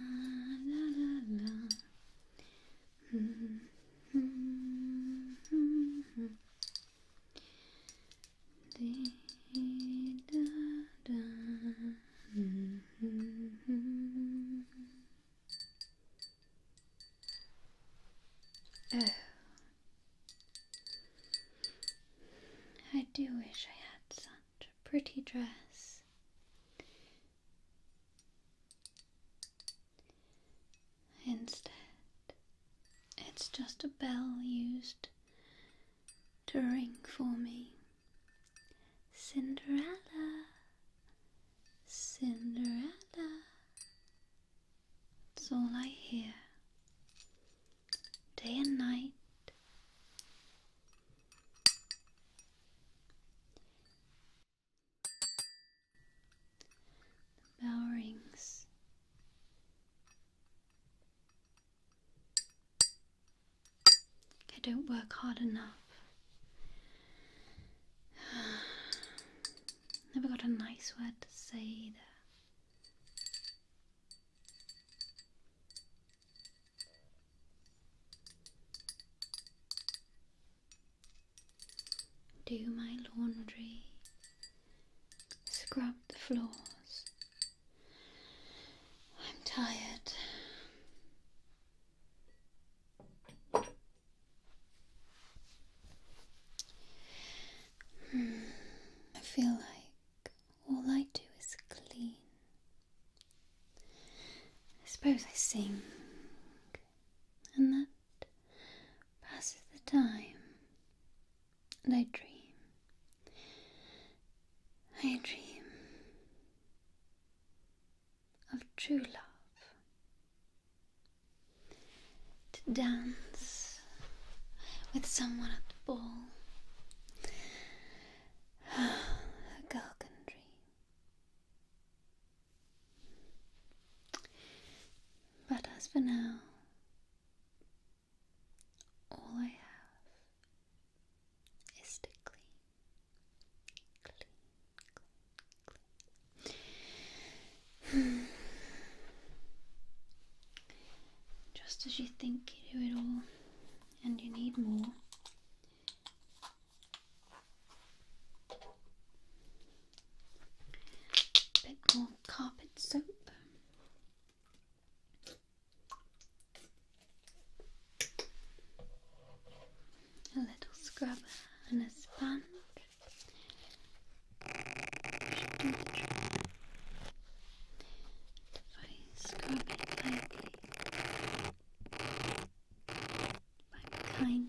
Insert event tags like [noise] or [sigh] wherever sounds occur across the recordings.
Oh. I do wish I had some. A pretty dress. Instead, it's just a bell used to ring for me. Cinderella, Cinderella. It's all I hear. Day and night, the bell rings. I don't work hard enough. [sighs] Never got a nice word to say either. Do my laundry, scrub the floors. I'm tired. Hmm. I feel like all I do is clean. I suppose I sing, and that passes the time, and I dream. I dream of true love, to dance with someone at the ball, [sighs] a girl can dream. But as for now, all I have is to clean, clean, clean, clean. [sighs] Just as you think you do it all, and you need more. A bit more carpet soap. A little scrubber and a sponge. If I scrub it lightly i kind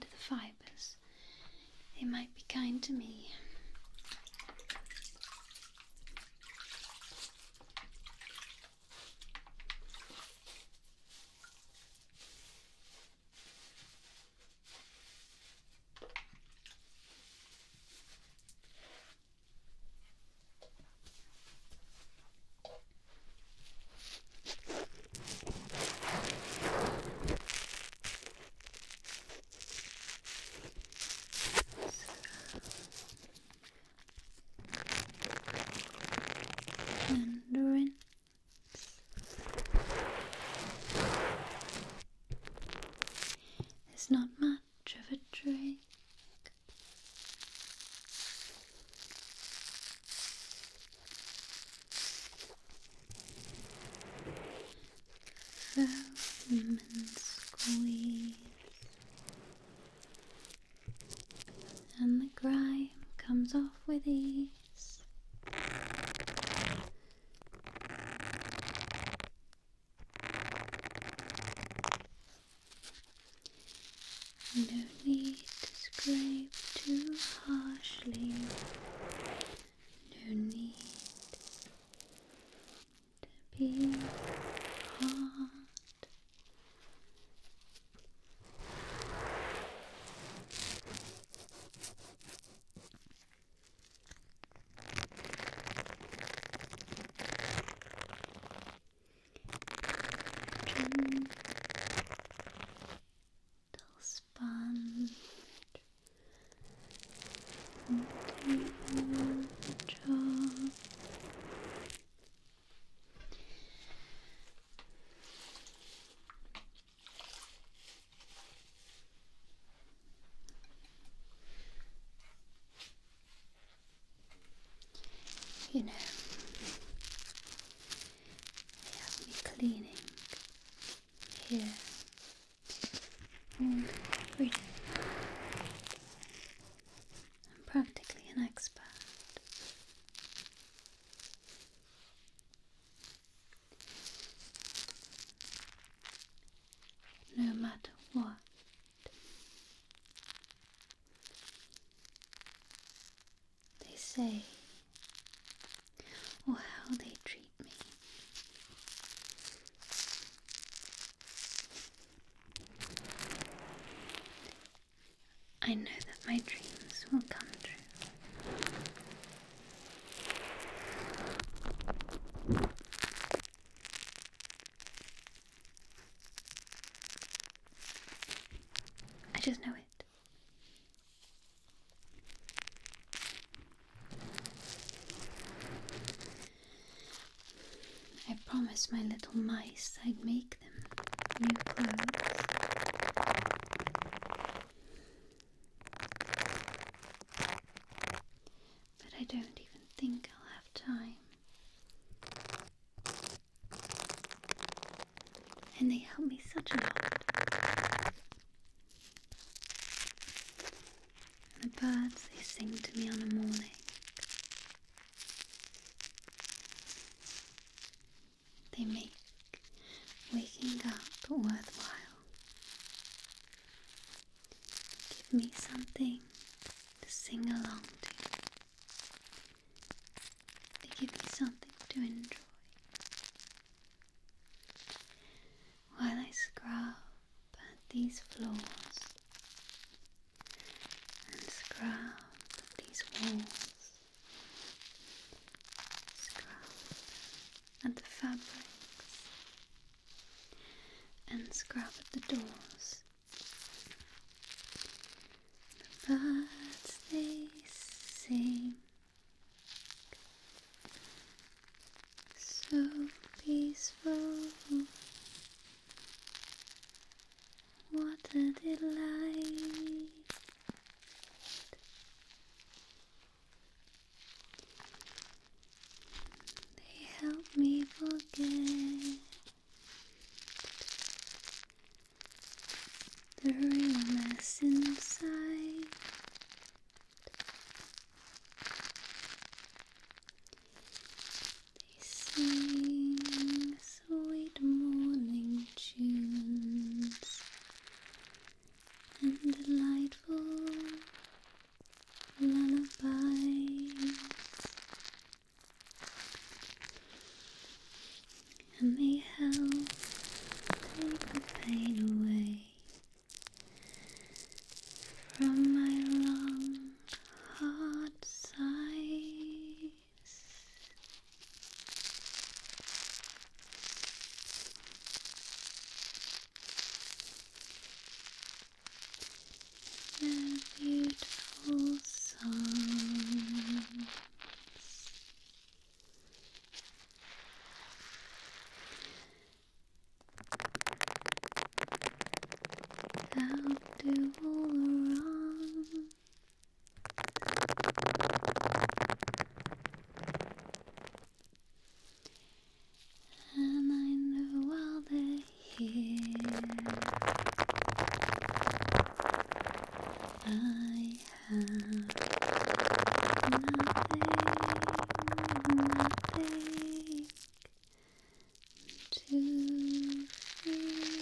to the fibers. They might be kind to me. Mandarin. It's not much of a drink. The lemon squeeze and the grime comes off with ease. No need to scrape too harshly. No need to be hard. Chin. Little sponge. You know, they have cleaning here all mm, day. I'm practically an expert. No matter what they say, oh, how they treat me. I know that my dreams will come true. I just know it. I promised my little mice I'd make them new clothes but I don't even think I'll have time. And they help me such a lot. And the birds, they sing to me on the morning. They make waking up worthwhile. Give me something to sing along to. They give me something to enjoy. While I scrub these floors and scrub these walls, scrub at the fabrics and scrub at the doors. The birds they sing, so peaceful. What a delight! They help me forget the real mess inside. They sing sweet morning tunes and delightful Lullaby, and may help take the pain away from my long hard sighs they beautiful songs. i do all wrong. And I know all the years I have nothing, nothing to feel.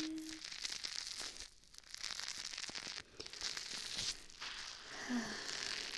[sighs]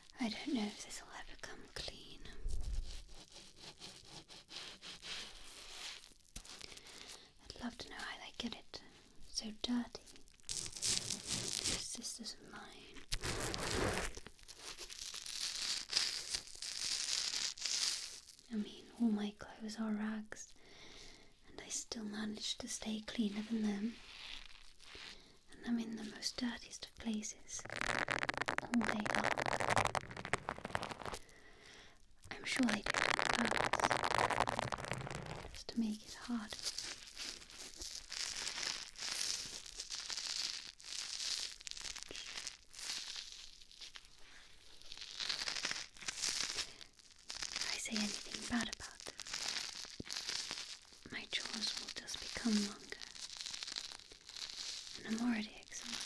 I don't know if this will ever come clean. I'd love to know how they get it so dirty. These sisters of mine. I mean, all my clothes are rags, and I still manage to stay cleaner than them and I'm in the most dirtiest of places all day long. I'm sure they do it on purpose, just to make it hard. If I say anything bad about my chores will just become longer. And I'm already exhausted.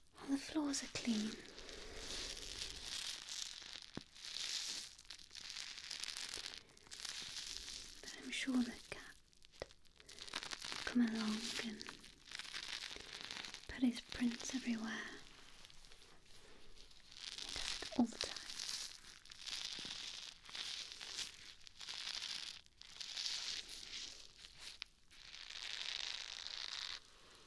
All the floors are clean. But I'm sure the cat will come along and put his prints everywhere. all the time.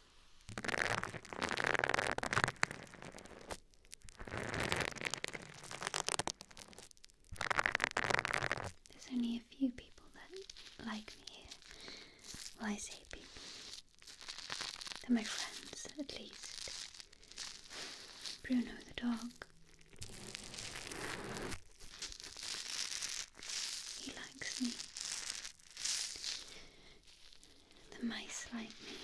There's only a few people that like me Well, I say people. They're my friends, at least. Bruno the dog. He likes me the mice like me.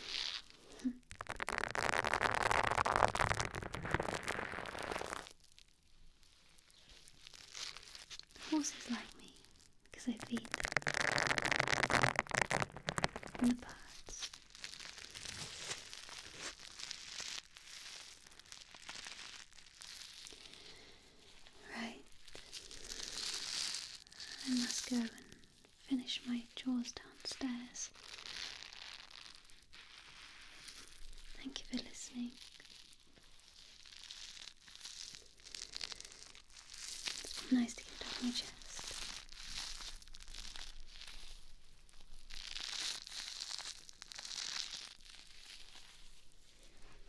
Horses like me because I feed them. And the birds. Right. I must go and finish my chores downstairs. Thank you for listening. it nice to get off my chest.